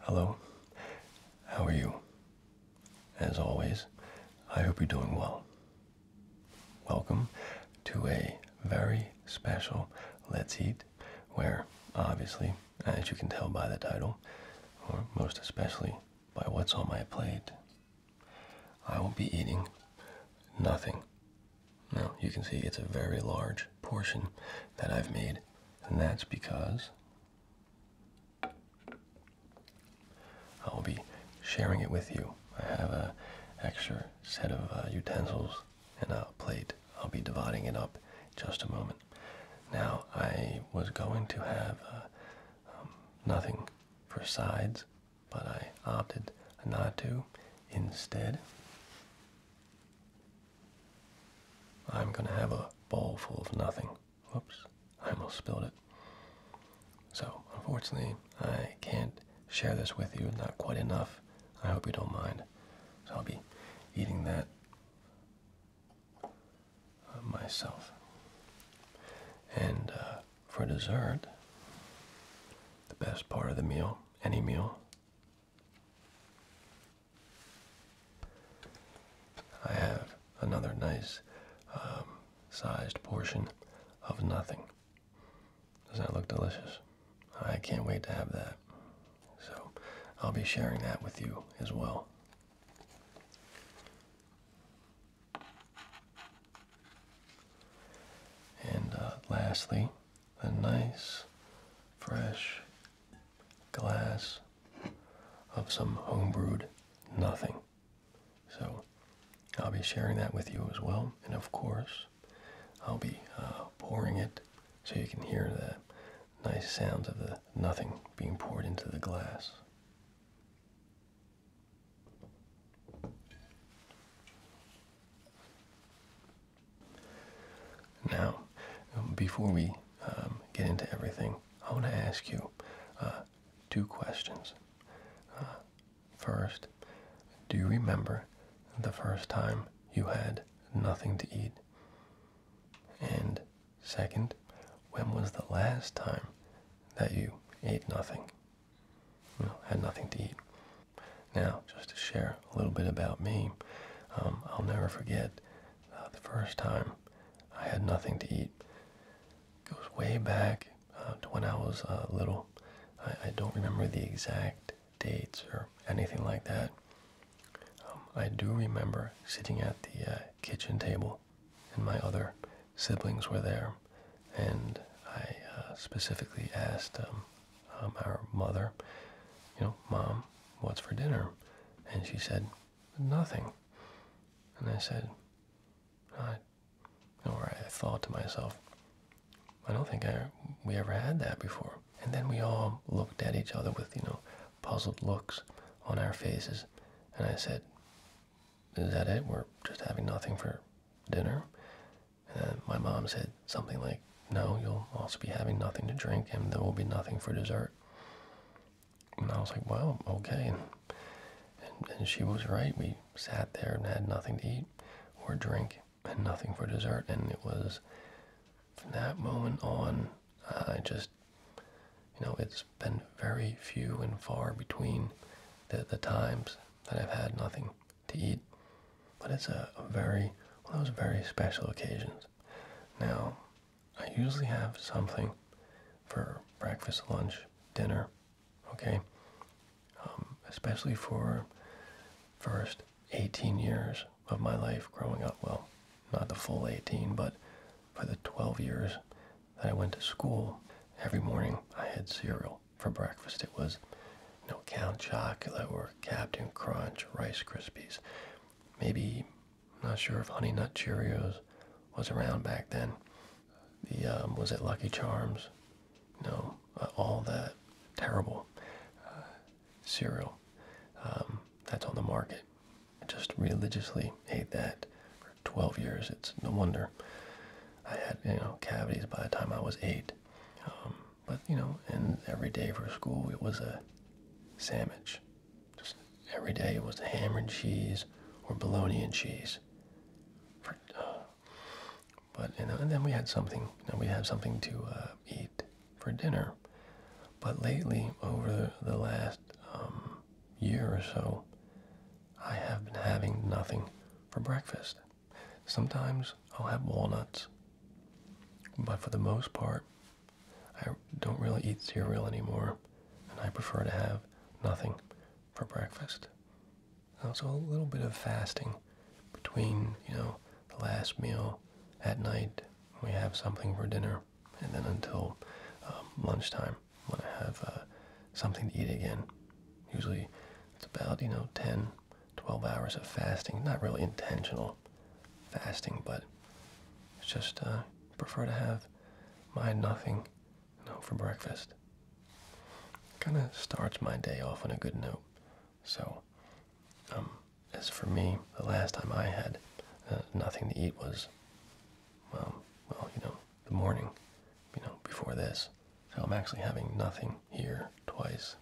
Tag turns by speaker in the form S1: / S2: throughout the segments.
S1: Hello, how are you? As always, I hope you're doing well. Welcome to a very special Let's Eat, where obviously, as you can tell by the title, or most especially by what's on my plate, I will not be eating nothing. Now, you can see it's a very large portion that I've made and that's because I will be sharing it with you. I have a extra set of uh, utensils and a plate. I'll be dividing it up just a moment. Now I was going to have uh, um, nothing for sides, but I opted not to. Instead, I'm gonna have a bowl full of nothing. Whoops, I almost spilled it. So, unfortunately, I can't share this with you, not quite enough. I hope you don't mind. So, I'll be eating that uh, myself. And uh, for dessert, the best part of the meal, any meal, I have another nice um, sized portion of nothing. Doesn't that look delicious? I can't wait to have that. So I'll be sharing that with you as well. And uh, lastly, a nice, fresh glass of some homebrewed nothing. So I'll be sharing that with you as well. And of course, I'll be uh, pouring it so you can hear the nice sounds of the nothing being poured into the glass. Now, before we um, get into everything, I want to ask you uh, two questions. Uh, first, do you remember the first time you had nothing to eat? And second, when was the last time that you ate nothing? You had nothing to eat. Now, just to share a little bit about me, um, I'll never forget uh, the first time I had nothing to eat. It goes way back uh, to when I was uh, little. I, don't remember the exact dates or anything like that. Um, I do remember sitting at the kitchen table, and my other siblings were there, and I specifically asked um, um, our mother, you know, Mom, what's for dinner? And she said, Nothing. And I said, I, or I thought to myself, I don't think I, we ever had that before. And then we all looked at each other with, you know, puzzled looks on our faces. And I said, is that it? We're just having nothing for dinner? And my mom said something like, no, you'll also be having nothing to drink and there will be nothing for dessert. And I was like, wow, okay. And, and, she was right. We sat there and had nothing to eat or drink and nothing for dessert. And it was from that moment on, I just, you know, it's been very few and far between the, the times that I've had nothing to eat. But it's a, a very, one of those very special occasions. Now, I usually have something for breakfast, lunch, dinner, okay? Um, especially for first 18 years of my life growing up. Well, not the full 18, but for the 12 years that I went to school, every morning I had cereal for breakfast. It was no Count chocolate or Captain Crunch, Rice Krispies, maybe I'm not sure if Honey Nut Cheerios was around back then. The um, was it Lucky Charms? No, uh, all that terrible uh, cereal um, that's on the market. I just religiously ate that for 12 years. It's no wonder I had you know cavities by the time I was eight. Um, but you know, and every day for school it was a sandwich. Just every day it was the ham and cheese or bologna and cheese. Uh, but and, then we had something. You we had something to uh, eat for dinner. But lately, over the last um, year or so, I have been having nothing for breakfast. Sometimes I'll have walnuts, but for the most part, I don't really eat cereal anymore, and I prefer to have nothing for breakfast. So a little bit of fasting between, you know, the last meal at night. We have something for dinner, and then until um, lunchtime when I have uh, something to eat again. Usually, it's about, you know, 10, 12 hours of fasting. Not really intentional fasting, but it's just, uh, prefer to have my nothing you know, for breakfast. Kind of starts my day off on a good note. So, um, as for me, the last time I had uh, nothing to eat was, well, well, you know, the morning, you know, before this. So I'm actually having nothing here twice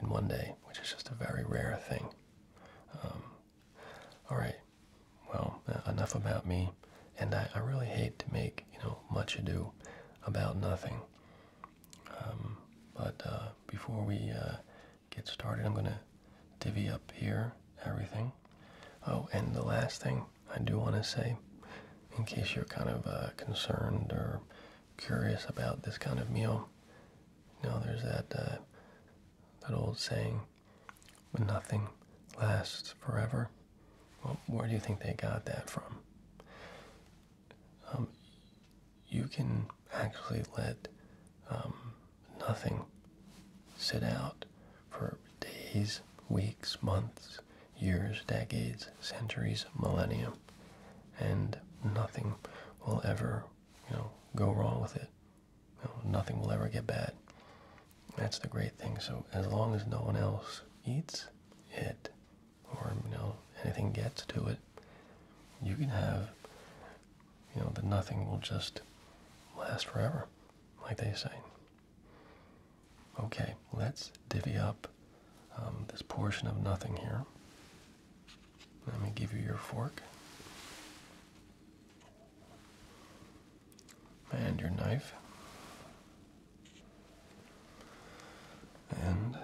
S1: in one day, which is just a very rare thing. Um, all right. Well, uh, enough about me. And I, I really hate to make you know much ado about nothing. Um, but uh, before we uh, get started, I'm gonna divvy up here everything. Oh, and the last thing I do want to say, in case you're kind of concerned or curious about this kind of meal, you know, there's that that old saying, when nothing lasts forever. Well, where do you think they got that from? Um, you can actually let um, nothing sit out for days, weeks, months, years, decades, centuries, millennium, and nothing will ever, you know, go wrong with it. Oh, nothing will ever get bad. That's the great thing. So as long as no one else eats it, or you know anything gets to it, you can have you know the nothing will just last forever, like they say. Okay, let's divvy up um, this portion of nothing here. Let me give you your fork and your knife and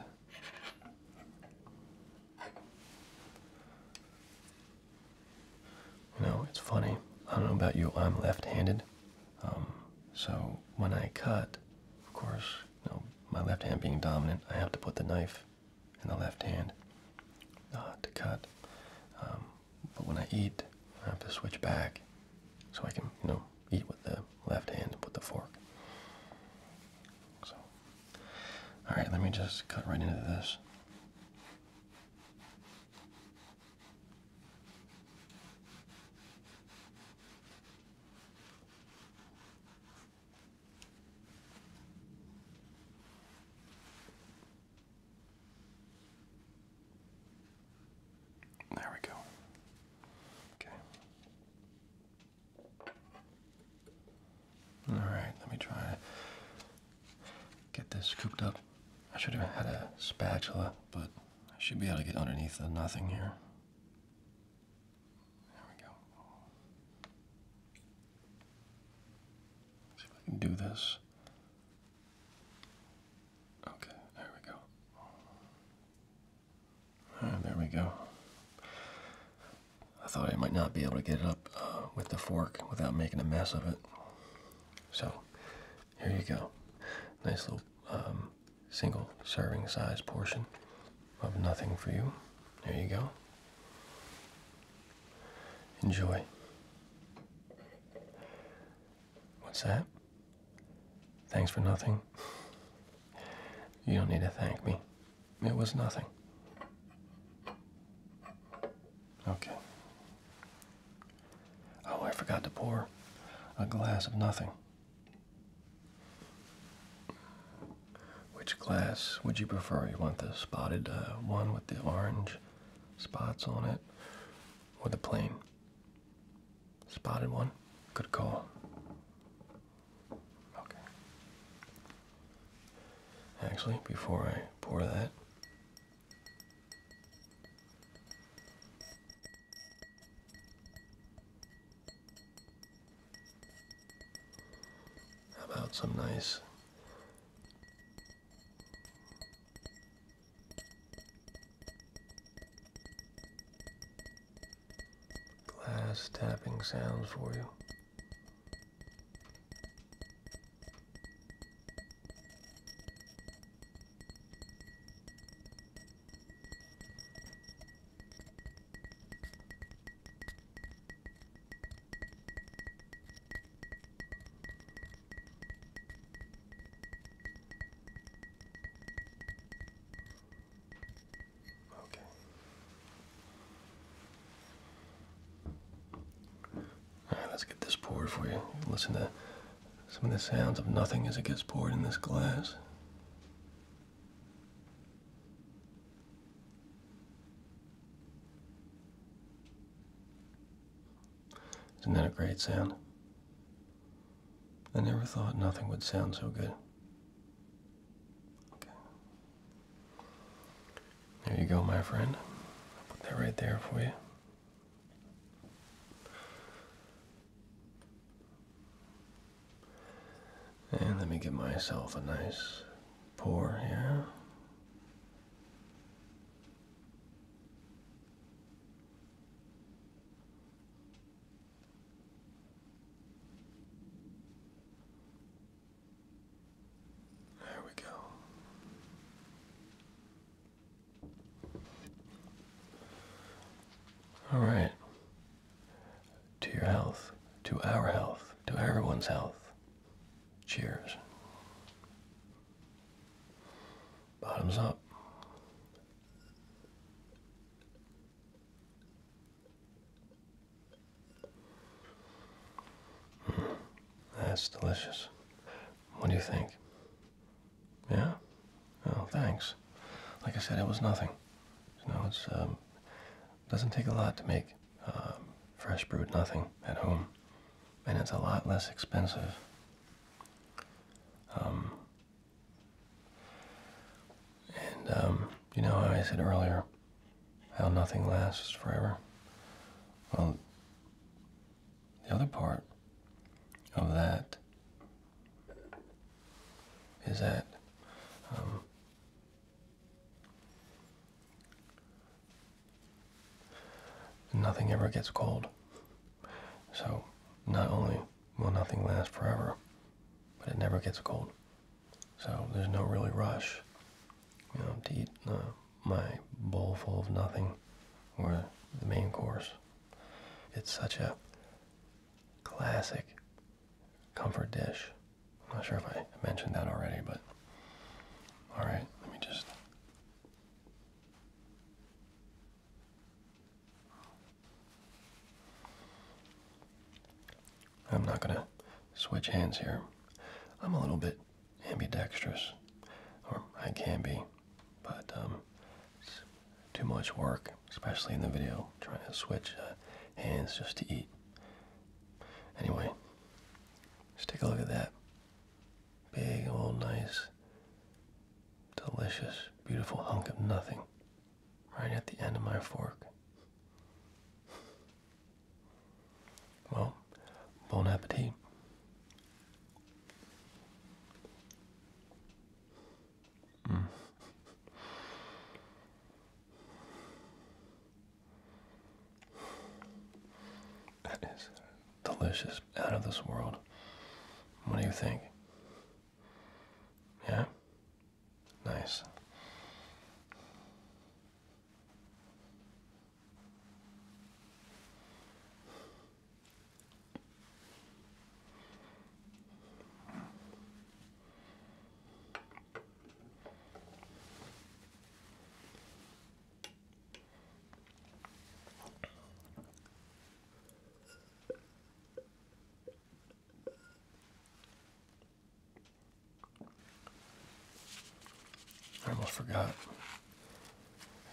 S1: you know it's funny i don't know about you i'm left-handed um, so when i cut of course you my left hand being dominant i have to put the knife in the left hand uh, to cut um, but when I eat, I have to switch back so I can, you know, eat with the left hand and put the fork. So, all right, let me just cut right into this. There we go. Okay. All right, let me try get this scooped up. I should have had a spatula, but I should be able to get underneath the nothing here. There we go. see if I can do this Okay, there we go. Ah, there we go. I thought I might not be able to get it up uh, with the fork without making a mess of it. So, here you go. Nice little um, single serving size portion of nothing for you. There you go. Enjoy. What's that? Thanks for nothing. You don't need to thank me. It was nothing. Okay. Oh, I forgot to pour a glass of nothing. Which glass would you prefer? You want the spotted uh, one with the orange spots on it with a plane. Spotted one? Good call. Okay. Actually, before I pour that, how about some nice Glass tapping sounds for you. Okay. Alright, let's get this poured for you. Listen to some of the sounds of nothing as it gets poured in this glass. Isn't that a great sound? I never thought nothing would sound so good. Okay. There you go, my friend. I'll put that right there for you. And let me give myself a nice pour here. There we go. All right. To your health, to our health, to everyone's health. Cheers. Bottoms up. that's delicious. What do you think? Yeah? Oh, thanks. Like I said, it was nothing. You it's um, doesn't take a lot to make um, fresh brewed nothing at home, and it's a lot less expensive um, and, um, you know how I said earlier how nothing lasts forever? Well, the other part of that is that um, Nothing ever gets cold. So, not only will nothing last forever, but it never gets cold. So, there's no really rush, you know, to eat uh, my bowl full of nothing or the main course. It's such a classic comfort dish. I'm not sure if I mentioned that already, but all right, let me just I'm not going to switch hands here. I'm a little bit ambidextrous, or I can be, but um, too much work, especially in the video, trying to switch uh, hands just to eat. Anyway, let's take a look at that. Big, old, nice, delicious, beautiful hunk of nothing right at the end of my fork. Well, bon appetit. Mm. That is delicious, out of this world. What do you think? Yeah? Nice. I almost forgot. It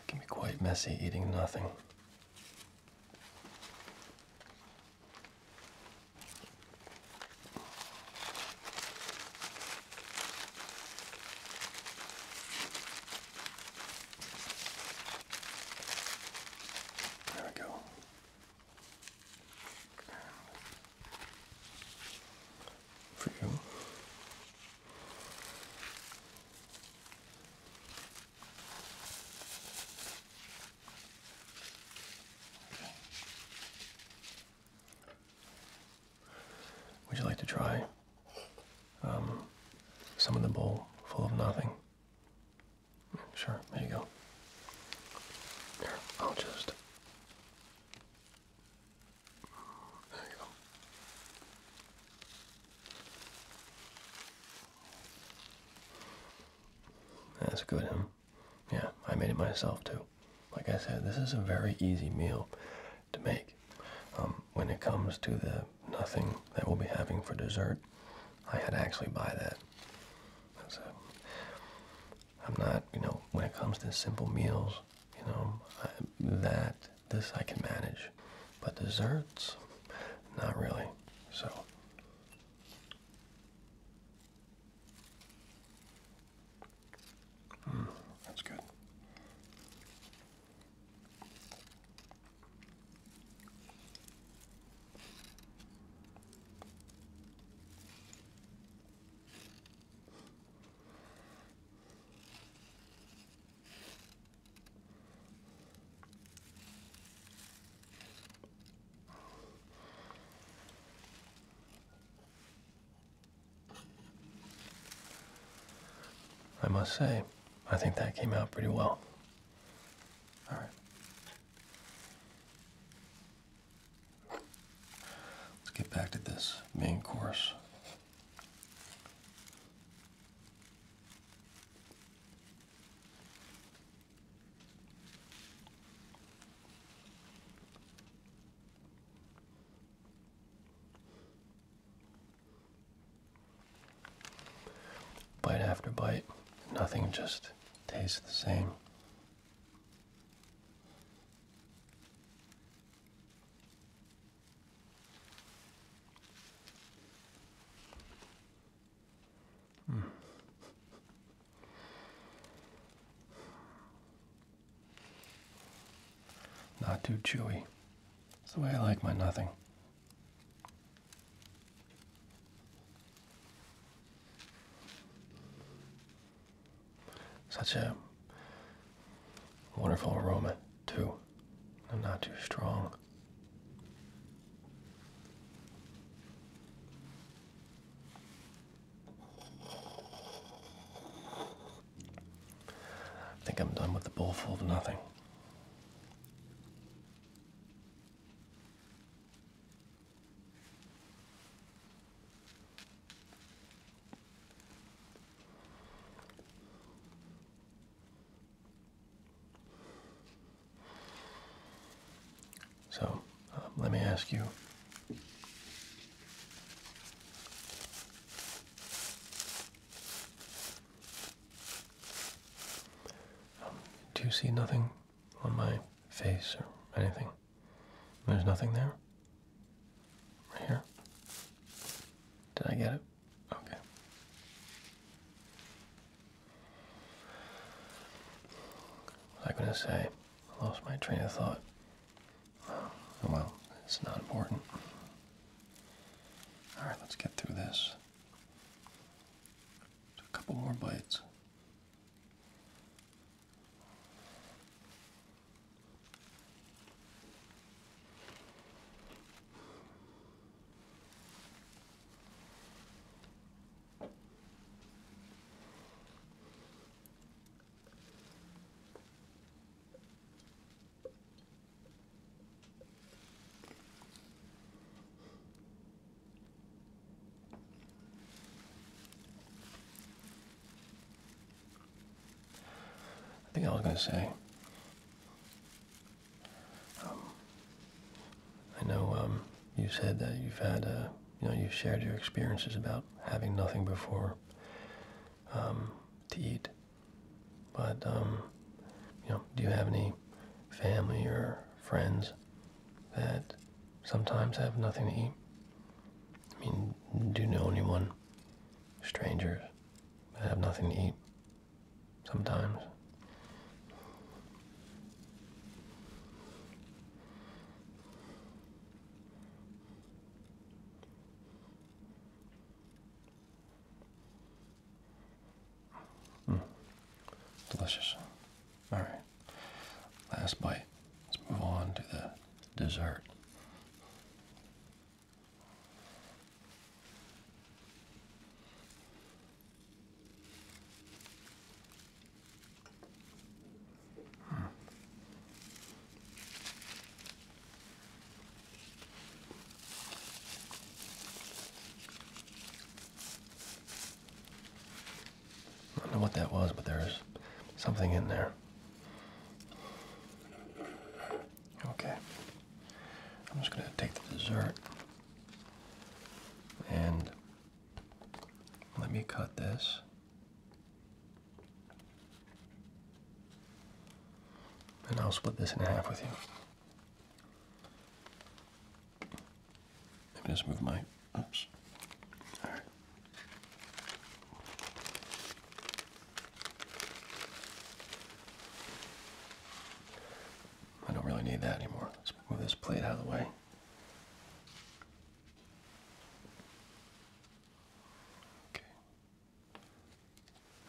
S1: can be quite messy eating nothing. There we go. For you. Would you like to try um, some in the bowl full of nothing. Sure, there you go. I'll just. There you go. That's good, Yeah, I made it myself too. Like I said, this is a very easy meal to make. Um, when it comes to the nothing that we'll be having for dessert, I had to actually buy that. So I'm not, you know, when it comes to simple meals, you know, that, this I can manage. But desserts, not really. So. Hmm, that's good. I must say, I think that came out pretty well. All right. Let's get back to this main course. Bite after bite, nothing just tastes the same. Hmm. Not too chewy. It's the way I like my nothing. Such a wonderful aroma, too, and not too strong. I think I'm done with the bowl full of nothing. So um, let me ask you do you see nothing on my face or anything? There's nothing there? Right here? Did I get it? Okay. What was I going to say? lost my train of thought. well, it's not important. Alright, let's get through this. A couple more bites. I think I was going to say. Um, I know um, you said that you've had, uh, you know, you've shared your experiences about having nothing before um, to eat. But um, you know, do you have any family or friends that sometimes have nothing to eat? I mean, do you know anyone, strangers, that have nothing to eat sometimes? Hmm. Delicious. All right. Last bite. Let's move on to the dessert. Hmm. I don't know what that was, but there's something in there. Okay. I'm just going to take the dessert and let me cut this. And I'll split this in half with you. Maybe just move my. Oops. I don't really need that anymore. Let's move this plate out of the way. Okay.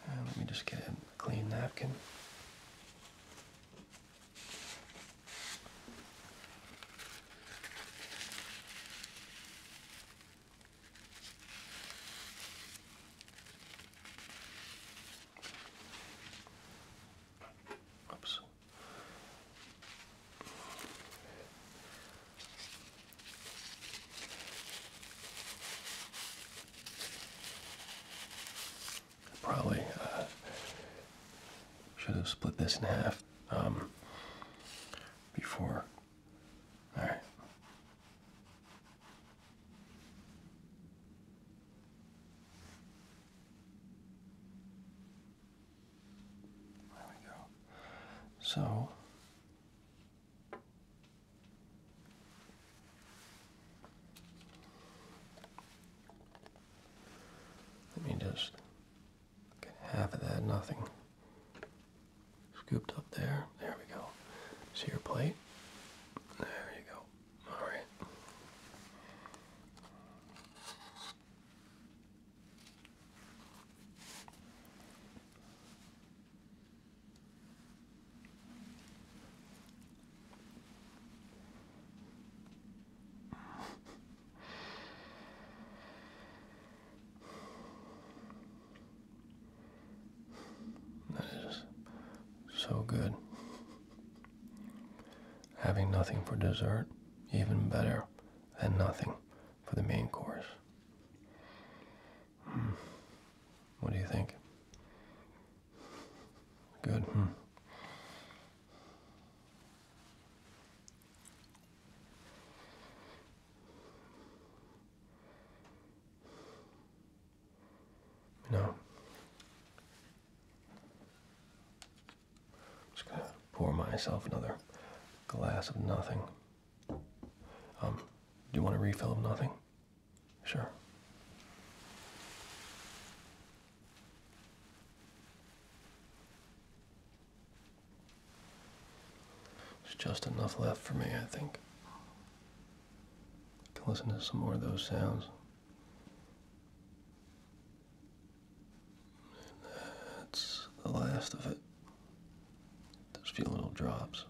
S1: Uh, let me just get a clean napkin. Oops. Probably uh, should have split this in half um, before. There we go. So let me just get half of that, nothing. Scooped up there. There we go. See your plate? There you go. All right. This so good. Having nothing for dessert, even better than nothing for the main course. Hmm. What do you think? Good. Hmm. No. I'm just gonna pour myself another glass of nothing. Um, do you want a refill of nothing? Sure. There's just enough left for me, I think. I can listen to some more of those sounds. that's the last of it. There's a few little drops.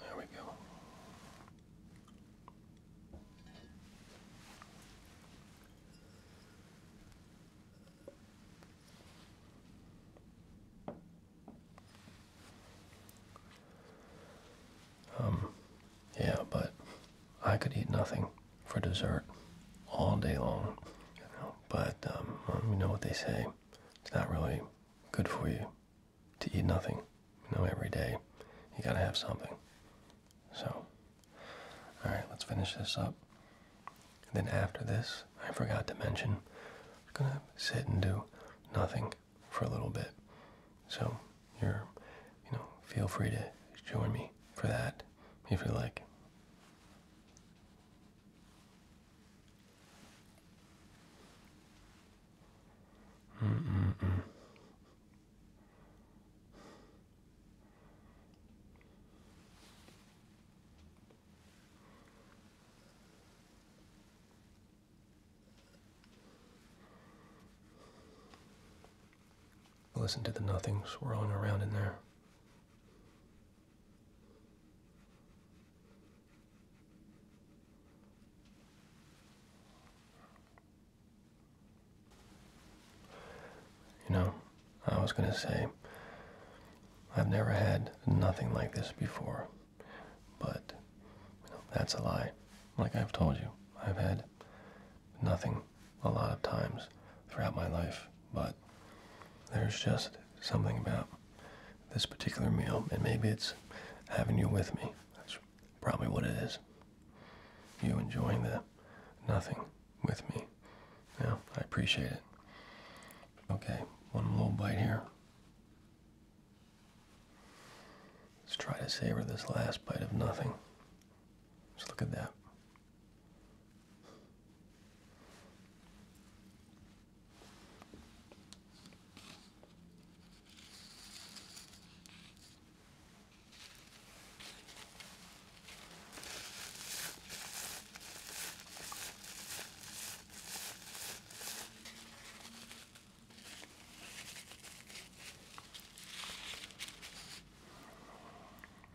S1: There we go. Um, yeah, but I could eat nothing for dessert all day long, but um, you know what they say, it's not really good for you to eat nothing. You know, every day you gotta have something. So, alright, let's finish this up. And then after this, I forgot to mention, I'm gonna sit and do nothing for a little bit. So, you're, you know, feel free to join me for that if you like. Listen to the nothing swirling around in there. You know, I was going to say, I've never had nothing like this before, but that's a lie. Like I've told you, I've had nothing a lot of times throughout my life, but there's just something about this particular meal, and maybe it's having you with me. Probably what it is. You enjoying the nothing with me. Yeah, I appreciate it. Okay, one little bite here. Let's try to savor this last bite of nothing. Just look at that.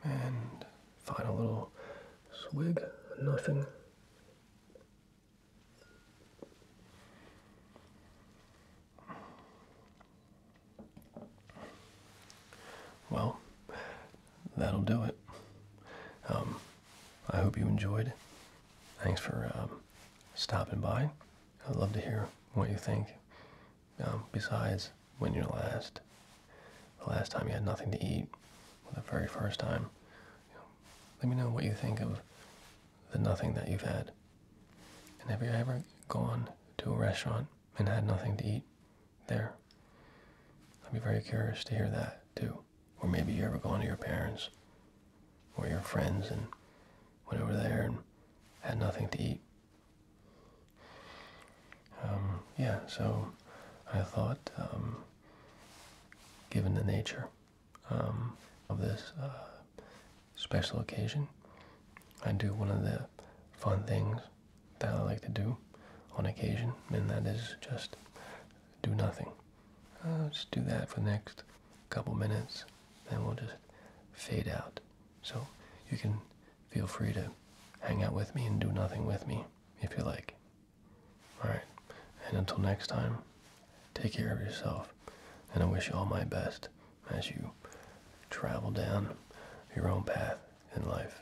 S1: And final little swig, nothing. Well, that'll do it. Um, I hope you enjoyed. Thanks for um, stopping by. I'd love to hear what you think. Um, besides, when you're last, the last time you had nothing to eat, the very first time, let me know what you think of the nothing that you've had. And have you ever gone to a restaurant and had nothing to eat there? I'd be very curious to hear that too. Or maybe you ever gone to your parents or your friends and went over there and had nothing to eat. Um, yeah, so I thought, um, given the nature um, of this uh, special occasion. I do one of the fun things that I like to do on occasion, and that is just do nothing. Uh, just do that for the next couple minutes, and we'll just fade out. So you can feel free to hang out with me and do nothing with me if you like. Alright, and until next time, take care of yourself, and I wish you all my best as you travel down your own path in life.